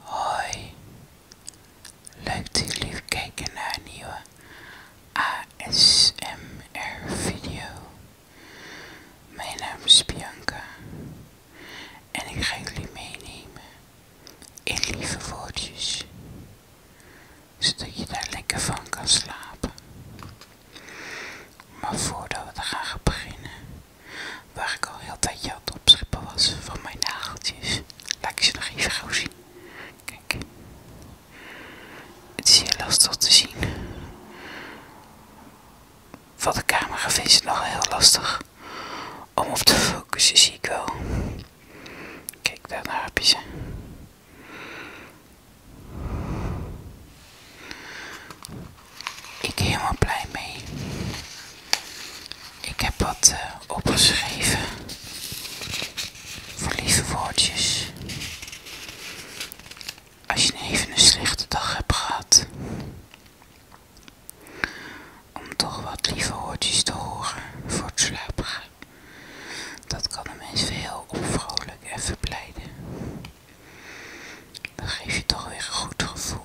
Hoi, leuk dat jullie kijken naar een nieuwe ASMR video. Mijn naam is Bianca en ik ga jullie meenemen in lieve woordjes zodat je daar lekker van kan slapen. Maar voordat we gaan beginnen, waar ik al heel tijdje aan het opschippen was van mijn nageltjes, laat ik ze nog even gauw zien. Kijk, het is heel lastig te zien. Van de camera vind ik het nog heel lastig om op te focussen, zie ik wel. Kijk, daar heb je ze. Ik ben helemaal blij mee. Ik heb wat eh, opgeschreven voor lieve woordjes. Als je nou even een slechte dag hebt gehad, om toch wat lieve woordjes te horen voor het slapen dat kan een mens heel onvrolijk en verblijden. Dat geeft je toch weer een goed gevoel.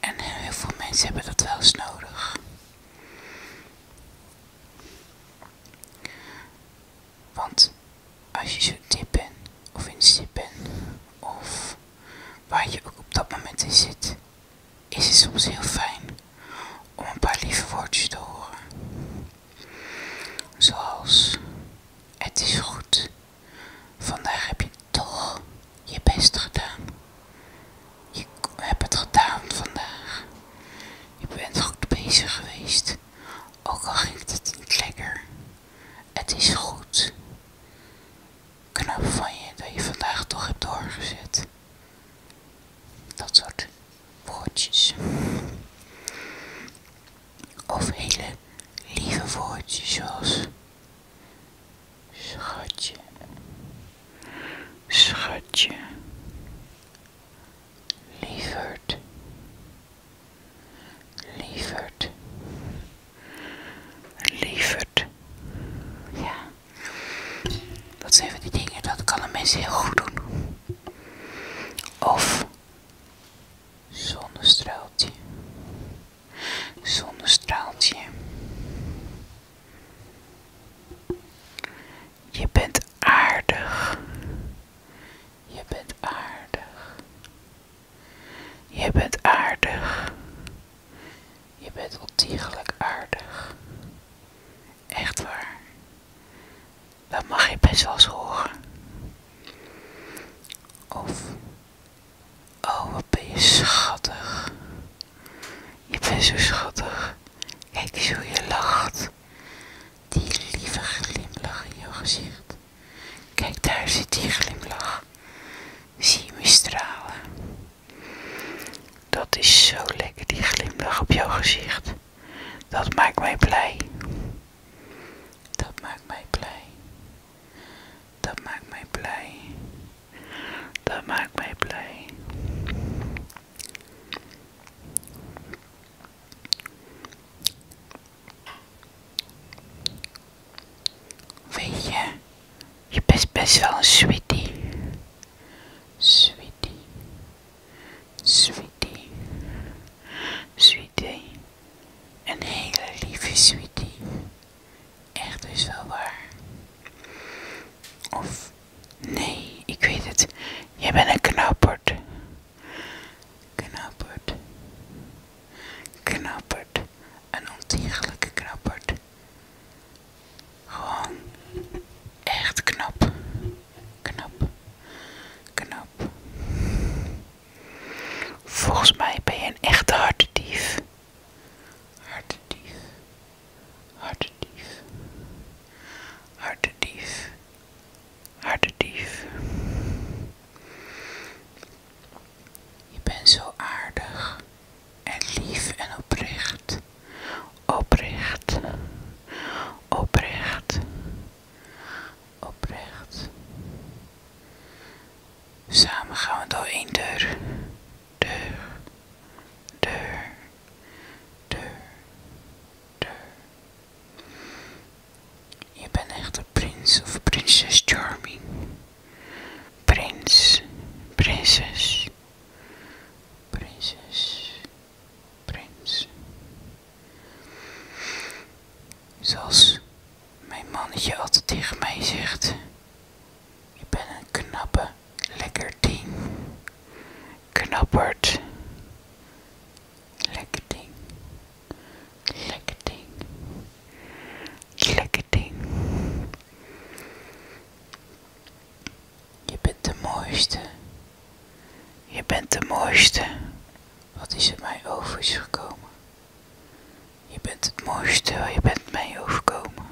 En heel veel mensen hebben dat wel eens nodig. Want als je zo diep bent, of in zit bent, of waar je ook op dat moment in zit, is het soms heel fijn om een paar lieve woordjes te horen. Zoals het is goed. Vandaag heb je toch je best gedaan. Je hebt het gedaan vandaag. Je bent goed bezig geweest. Ook al ging het niet lekker. Het is goed. Knap van je dat je vandaag toch hebt doorgezet dat soort woordjes. Of hele lieve woordjes zoals schatje, schatje, lieverd, lieverd, lieverd. Ja, dat zijn van die dingen, dat kan een mens heel goed doen. Of zonnestraaltje, zonnestraaltje. Je bent aardig. Je bent aardig. Je bent aardig. Je bent ontiegelijk aardig. Echt waar. Dat mag je best wel eens horen. Of, oh wat ben je schattig. Je bent zo schattig. Kijk eens hoe je lacht. Die lieve glimlach in jouw gezicht. Kijk, daar zit die glimlach. Zie je me stralen. Dat is zo lekker, die glimlach op jouw gezicht. Dat maakt mij blij. Dat maakt mij blij. Dat maakt mij blij. Dat maakt mij blij. Weet je, je bent best wel een sweetie. Sweetie. Sweetie. Sweetie. Een hele lieve sweetie. Echt dus wel waar. Of nee, ik weet het. Jij bent een knapperd. Knapperd. Knapperd. Een ontiegelijke knapperd. Gewoon echt knap. Knap. Knap. Volgens mij ben je een echte hartedief. Hartedief. Hartedief. Hartedief. Hartedief. Je bent zo aardig en lief en oprecht. Oprecht. Oprecht. Oprecht. Samen gaan we door één deur. Deur. Deur. Deur. Deur. Je bent echt een prins of prinses Charming. Prins. Prinses. Prinses prins. Zoals mijn mannetje altijd tegen mij zegt, je bent een knappe, lekker ding. Knapperd. Lekker ding. Lekker ding. Lekker ding. Je bent de mooiste. Je bent de mooiste. Wat is er mij over is gekomen? Je bent het mooiste, je bent mij overkomen.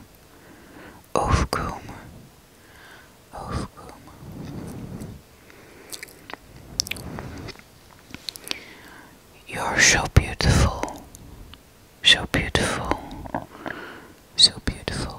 Overkomen. Overkomen. You're so beautiful. So beautiful. So beautiful.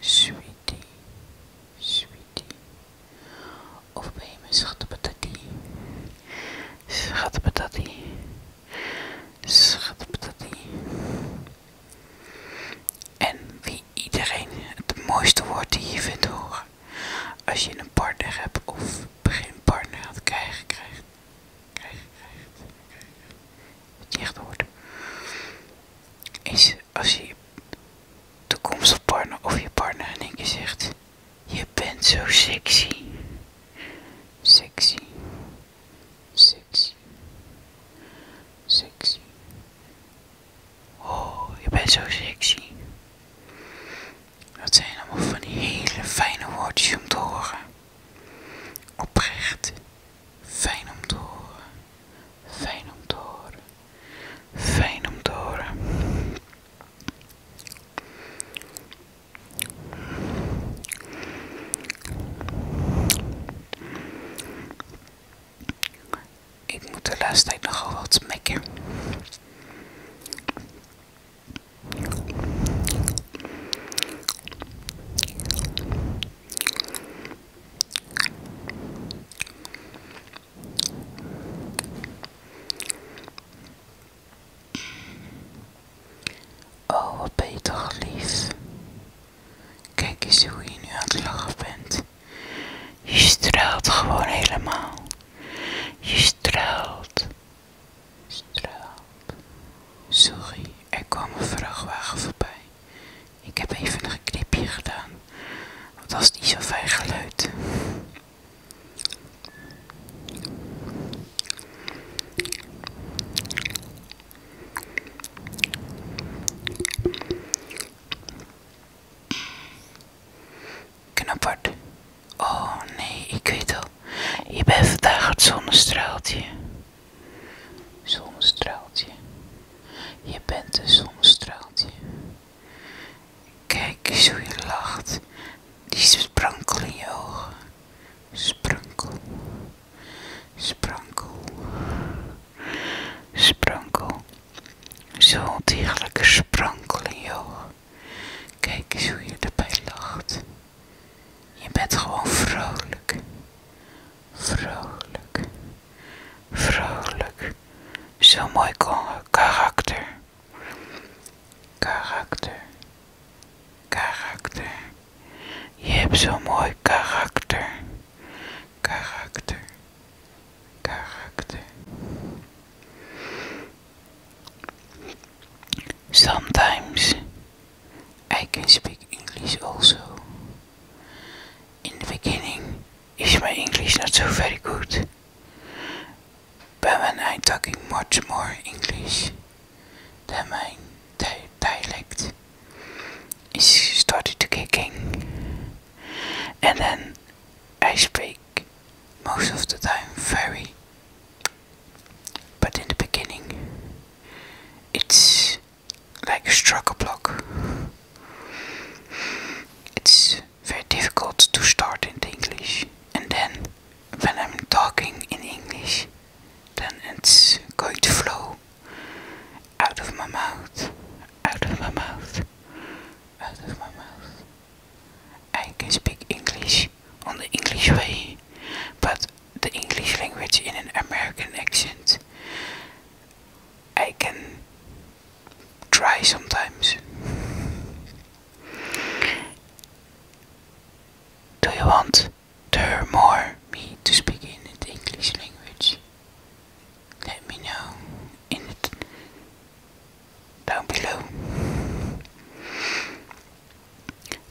Sweetie, sweetie. Of ben je mijn schattenpatati? dat hij. En wie iedereen het mooiste woord die je vindt horen. Als je een partner hebt of geen partner gaat krijgen, krijgt. Krijgen, krijgt. Krijg, krijg. Het niet Is als je toekomstige partner of je partner in één keer zegt: Je bent zo sexy. Sexy. Sexy. Sexy. Oh, je bent zo sexy. Dat zijn allemaal van die hele fijne woordjes om te horen. Oprecht. Fijn om te horen. Fijn om te horen. Fijn om te horen. Ik moet de laatste tijd nogal wat smekken. Oh, wat toch lief. Kijk eens hoe je nu aan het lachen bent. Je straalt gewoon helemaal. Je straalt. Straalt. Sorry, er kwam een vrachtwagen voorbij. Ik heb even een knipje gedaan, want dat is niet zo fijn geluid. Knapperd. Oh nee, ik weet al. Je bent vandaag het zonnestraaltje. Zonnestraaltje. Je bent een zonnestraaltje. Kijk eens hoe je lacht. Die sprankel in je ogen. Sprankel. Sprankel. Sprankel. Zo degelijke sprankel in je ogen. Kijk eens hoe je erbij lacht. Je bent gewoon vrolijk. Vrolijk, vrolijk. Zo mooi karakter. Karakter, karakter. Je hebt zo mooi karakter. Karakter, karakter. Sometimes I can speak English also. In the beginning is my English not so very good, but when I'm talking much more English than my dialect is started to kicking, and then I speak most of the time very. But in the beginning, it's like struck a block. It's very difficult to start in English, and then when I'm talking in English, then it's going to flow out of my mouth, out of my mouth, out of my mouth. I can speak English on the English way, but the English language in an American accent I can try sometimes. Do you want to more me to speak in the English language? Let me know in it down below.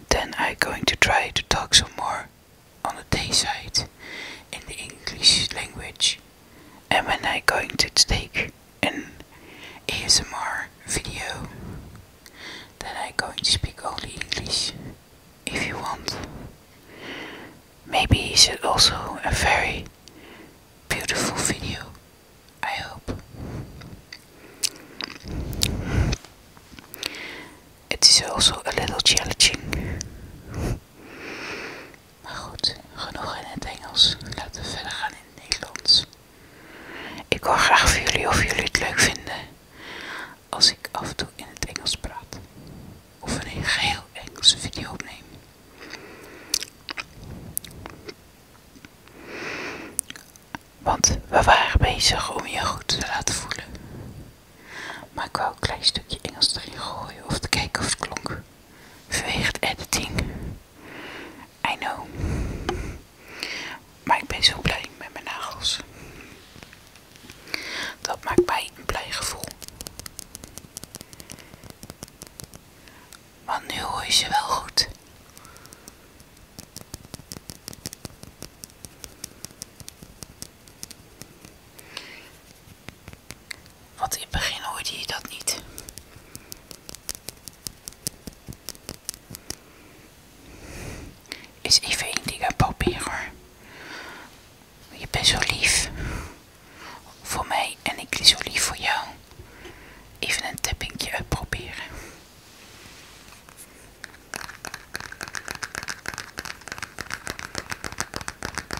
Then I'm going to try to talk some more on the day side in the English language. And when I'm going to take an ASMR video, then I'm going to speak only English if you want. Maybe it's also a very beautiful video, I hope. It is also a little challenging Maar goed, genoeg in het Engels. Laten we verder gaan in het Nederlands. Ik hoor graag van jullie of jullie het leuk vinden als ik af en toe in het Engels praat. Of een geheel Engelse video opneem. Want we waren bezig om je goed te laten voelen. Maar ik wou een klein stukje Engels erin gooien of te kijken of het klonk. Vanwege het editing. I know. Maar ik ben zo blij met mijn nagels. Dat maakt mij een blij gevoel. maar nu hoor je ze wel goed. Wat in het begin hoorde je dat niet. Is even een ding uitproberen. hoor. Je bent zo lief voor mij en ik ben zo lief voor jou. Even een tappingje uitproberen.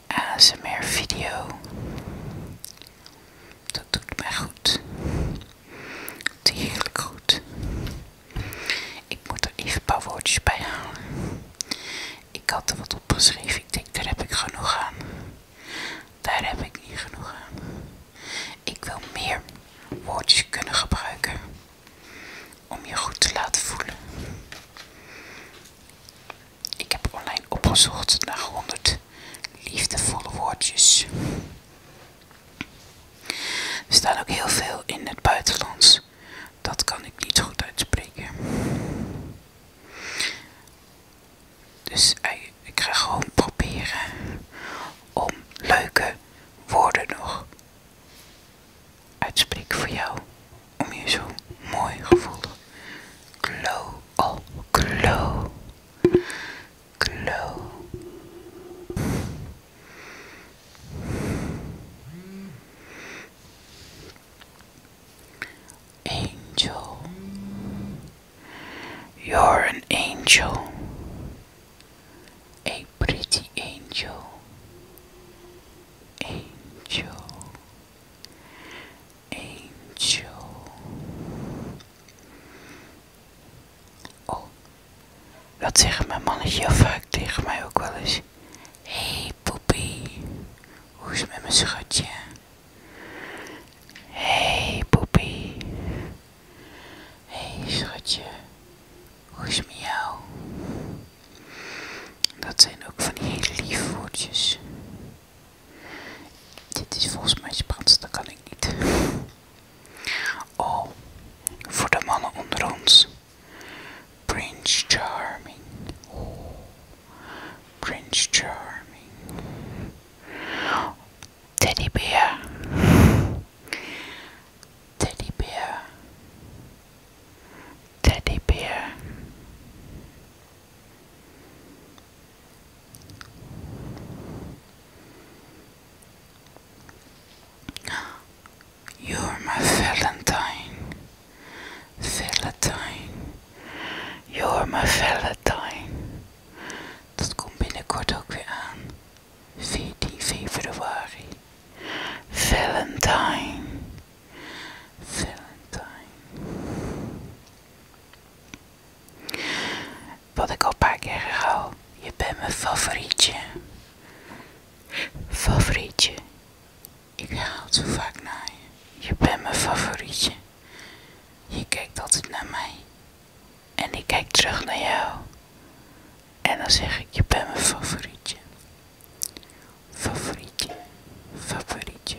mijn ASMR video. Dat doet mij goed. heel goed. Ik moet er even een paar woordjes bij halen. Ik had er wat opgeschreven. Ik denk, daar heb ik genoeg aan. Daar heb ik niet genoeg aan. Ik wil meer woordjes kunnen gebruiken. Om je goed te laten voelen. Ik heb online opgezocht naar 100 liefdevolle woordjes. Er staan ook heel veel in het buitenlands. Dat kan ik niet goed uitspreken. Dus eh, ik ga gewoon proberen om leuke woorden nog uitspreek voor jou. Om je zo mooi gevoel te glow, oh, glow, glow. Angel, you're an angel, a pretty angel, angel, Eentje. Oh, dat zegt mijn mannetje heel vaak tegen mij ook wel eens. hey, poepie, hoe is het met mijn schatje? hey, poepie, hey, schatje, hoe is het met jou? Dat zijn ook van die hele woordjes. Dit is volgens mij Spaans, dat kan ik niet. Oh, voor de mannen onder ons. Prince Charming. Oh, Prince Charming. Teddybeer. Teddy Teddybeer. You're my Valentine, Valentine, you're my Valentine. Dat komt binnenkort ook weer aan, 14 februari. Valentine, Valentine. Wat ik al een paar keer herhaal, je bent mijn favorietje. Favorietje. Ik haal zo vaak naar je. Je bent mijn favorietje. Je kijkt altijd naar mij. En ik kijk terug naar jou. En dan zeg ik, je bent mijn favorietje. Favorietje, favorietje.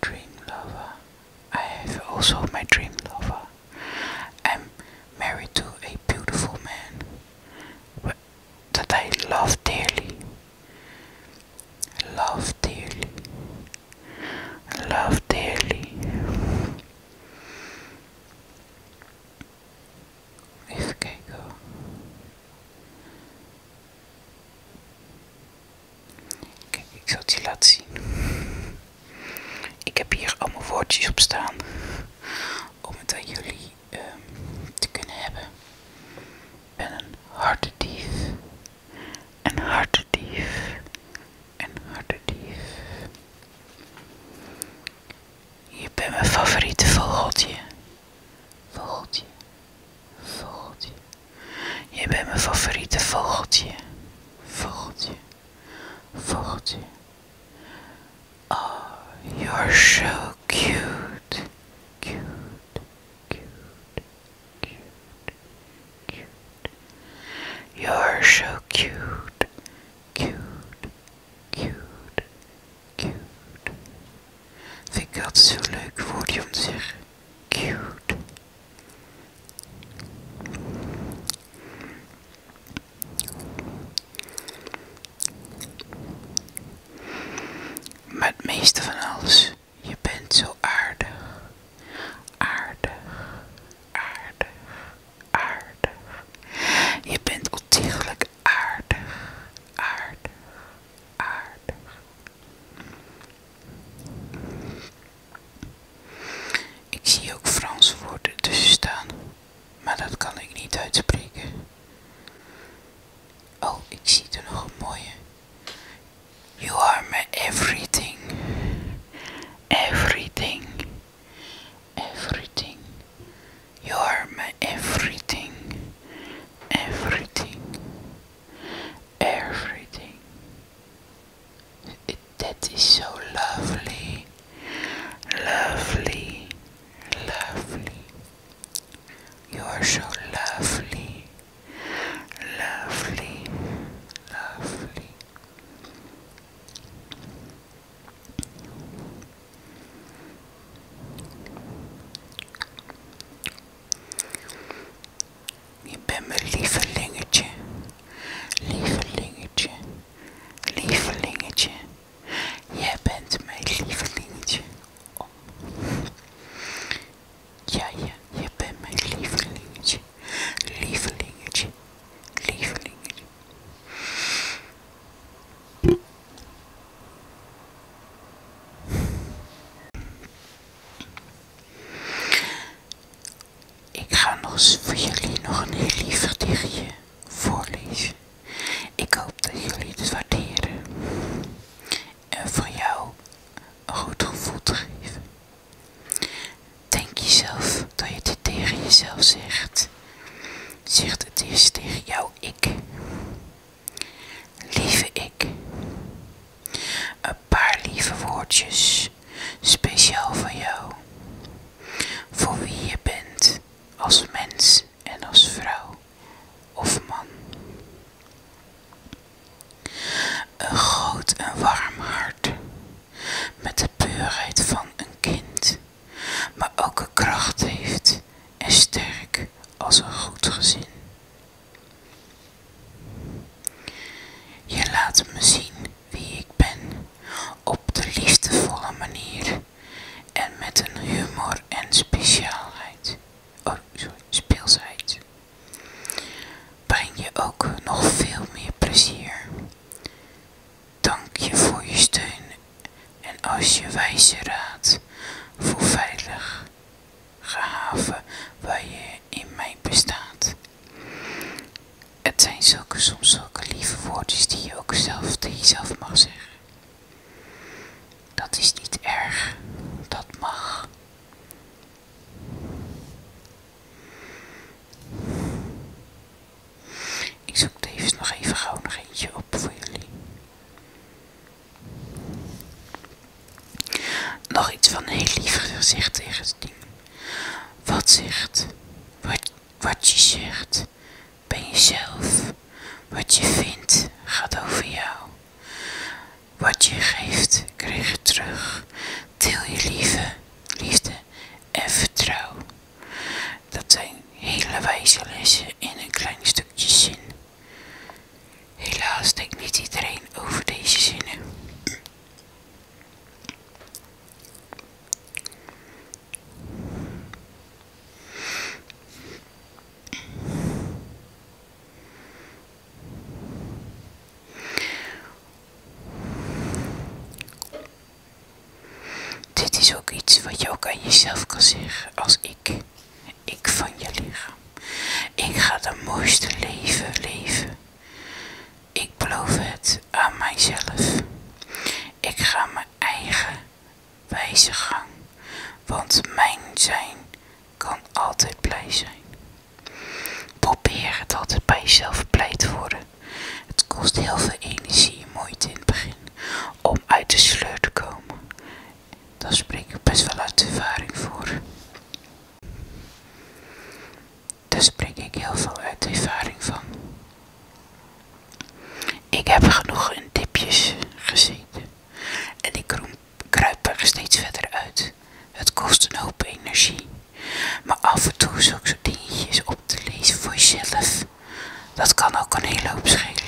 Dream lover. I have also my dream lover. I'm married to a beautiful man that I love dearly. Love dearly. Love dearly. Even kijken. Kijk, ik zal het je laten zien. Ik heb hier allemaal woordjes op staan om het aan jullie ehm, te kunnen hebben. Ik ben een hartedief. Een hartedief. Een hartedief. Je bent mijn favoriete vogeltje. Vogeltje, Vogeltje. Je bent mijn favoriete vogeltje. Vogeltje. Vogeltje. Oh, you're so cute. Cute. Cute. Cute. Cute. You're so cute. Cute. Cute. Cute. Vind ik altijd zo leuk voor om te zeggen. Cute. Maar het meeste van alles, je bent zo aardig. Aardig, aardig, aardig. Je bent ontiegelijk aardig, aardig, aardig, ik zie ook Frans woorden tussen staan, maar dat kan ik niet uitspreken. Oh, ik zie er nog een mooie. You are my everything. Everything. Everything. You are my everything. Everything. everything. that is so lovely, lovely, lovely. You are so lovely, lovely, lovely. Je bent mijn lievelingetje, lievelingetje, lievelingetje. Jij bent mijn lievelingetje. Ja, ja, je bent mijn lievelingetje, lievelingetje, lievelingetje. Ik ga nog voor jullie nog een heel lief gedichtje voorlezen. Ik hoop dat jullie het waarderen. En voor jou een goed gevoel te geven. Denk jezelf dat je dit tegen jezelf zegt. Zeg het eerst tegen jou ik. Lieve ik. Een paar lieve woordjes, speciaal voor jou. Voor wie je bent, als mens en als vrouw of man. Een groot en warm hart, met de puurheid van een kind, maar ook een kracht heeft en sterk als een goed gezin. Je laat me zien wie ik ben op de liefdevolle manier en met een humor en speciaalheid. Oh, speelsheid. Breng je ook nog veel meer plezier. Dank je voor je steun en als je wijze raad voor veilig gehaven waar je in mij bestaat. Het zijn zulke, soms zulke lieve woordjes die je ook zelf tegen jezelf mag zeggen. Dat is niet erg, dat mag. Ik zoek tevens nog even gauw nog eentje op voor jullie. Nog iets van een heel lief gezicht tegen het ding. Wat zegt, wat, wat je zegt, ben jezelf. Wat je vindt, gaat over jou. Wat je geeft, krijg je terug. Deel je liefde, liefde en vertrouw. Dat zijn hele wijze lessen in een klein stukje zin. Helaas denk niet iedereen over deze zinnen. Dit is ook iets wat je ook aan jezelf kan zeggen als ik ik van je lichaam. Ik ga de mooiste leven leven. Ik beloof het aan mijzelf. Ik ga mijn eigen wijze gang, want mijn zijn kan altijd blij zijn. Probeer het altijd bij jezelf blij te worden. Het kost heel veel energie en moeite in het begin om uit de sleur te komen. Daar spreek ik best wel uit ervaring voor. Daar dus spreek ik heel veel uit ervaring van. Ik heb genoeg in dipjes gezien en ik kruip er steeds verder uit. Het kost een hoop energie, maar af en toe zulke soort dingetjes op te lezen voor jezelf, dat kan ook een hele hoop schelen.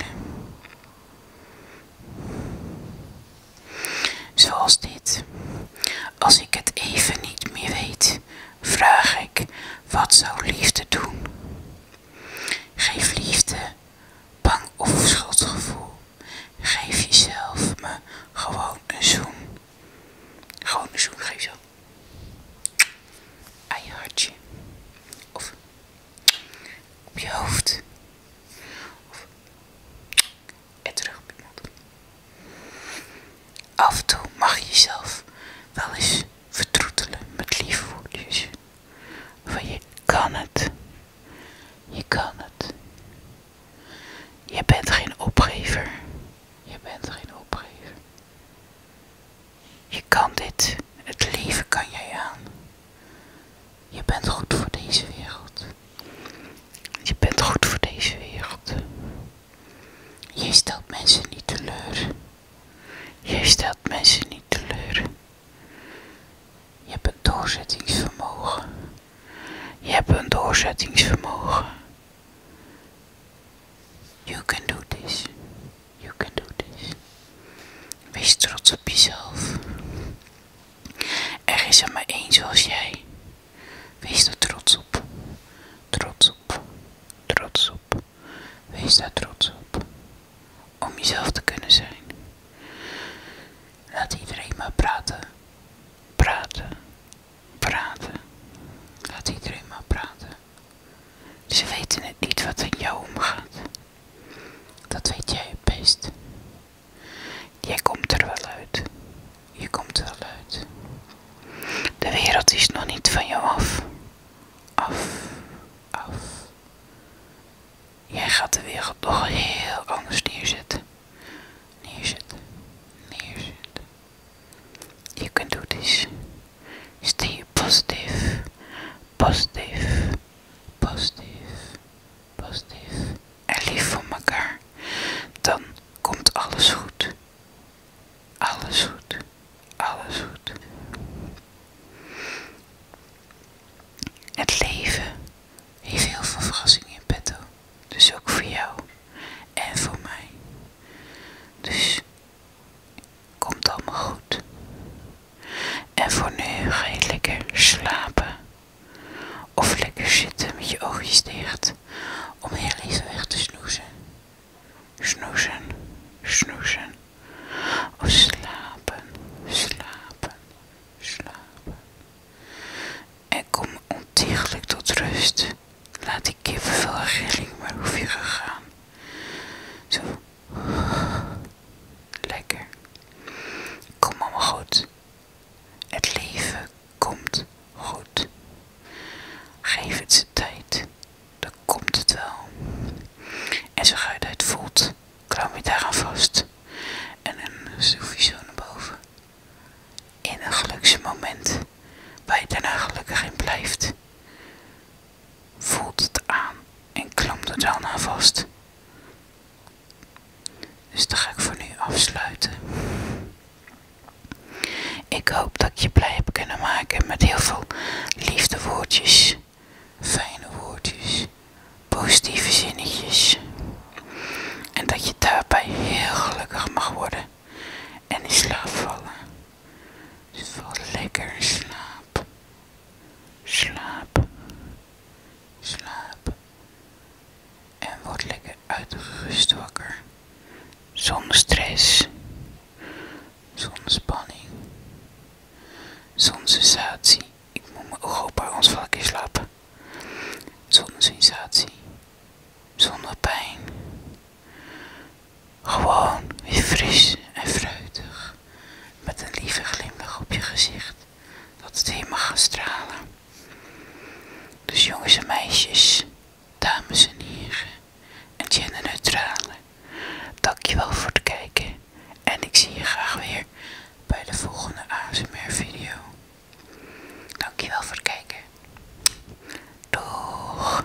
Zoals dit. Als ik het even niet meer weet, vraag ik: wat zou liefde doen? Geef liefde, bang of schuldgevoel. Geef jezelf me gewoon een zoen. Gewoon een zoen, geef zo. Aan je hartje. Of op je hoofd. Of en terug Af en toe mag je jezelf wel eens vertroetelen met liefde. Van je kan het. Je kan het. Je bent geen opgever. Je bent geen opgever. Je kan dit. Het leven kan jij aan. Je bent goed voor deze wereld. Je bent goed voor deze wereld. Je stelt mensen niet teleur. Je stelt mensen niet teleur. Je hebt een doorzettingsvermogen. Je hebt een doorzettingsvermogen. You can do this. You can do this. Wees trots op jezelf. Er is er maar één zoals jij. Wees er trots op. Trots op. Trots op. Wees daar trots op. Om jezelf te kunnen zijn. Laat iedereen maar praten. Praten. Praten. Laat iedereen maar praten. Ze weten het niet wat in jou omgaat. Dat weet jij het best. Jij komt er wel uit. Je komt er wel uit. De wereld is nog niet van jou af. Af, af. Jij gaat de wereld nog heel anders neerzetten. Neerzetten, neerzetten. Je kunt do this. Stay positief, positief. Positief positief en lief voor elkaar, dan komt alles goed. Alles goed. Alles goed. Het leven heeft heel veel verrassingen in petto. Dus ook voor jou en voor mij. Dus komt allemaal goed. En voor nu ga je lekker slapen. Of lekker zitten met je oogjes dicht om heel even weg te snoezen. Snoezen, snoezen. Of slapen, slapen, slapen. En kom ontiegelijk tot rust. Laat die kippenvel en maar hoef je gaan. Zo. Lekker. Kom allemaal goed. Het leven komt goed. Geef het zijn tijd, dan komt het wel. En zo ga je het voelt, klam je daaraan vast en een schroef je zo naar boven. In een geluksmoment waar je daarna gelukkig in blijft. Voelt het aan en klampt er dan aan vast. Dus dat ga ik voor nu afsluiten. Ik hoop dat je blij hebt kunnen maken met heel veel liefde woordjes, fijne woordjes, positieve zinnetjes. En dat je daarbij heel gelukkig mag worden en in slaap vallen. Dus lekker in slaap. Slaap. Slaap en word lekker uitgerust wakker. Zonder stress, zonder spanning, zonder sensatie. Ik moet mijn ogen op ons vlakje slapen. Zonder sensatie, zonder pijn. Gewoon weer fris en fruitig, met een lieve glimlach op je gezicht, dat het helemaal gaat stralen. Dus jongens en meisjes, dames en heren en genderneutrale, dankjewel voor het kijken en ik zie je graag weer bij de volgende ASMR video. Dankjewel voor het kijken. Doeg!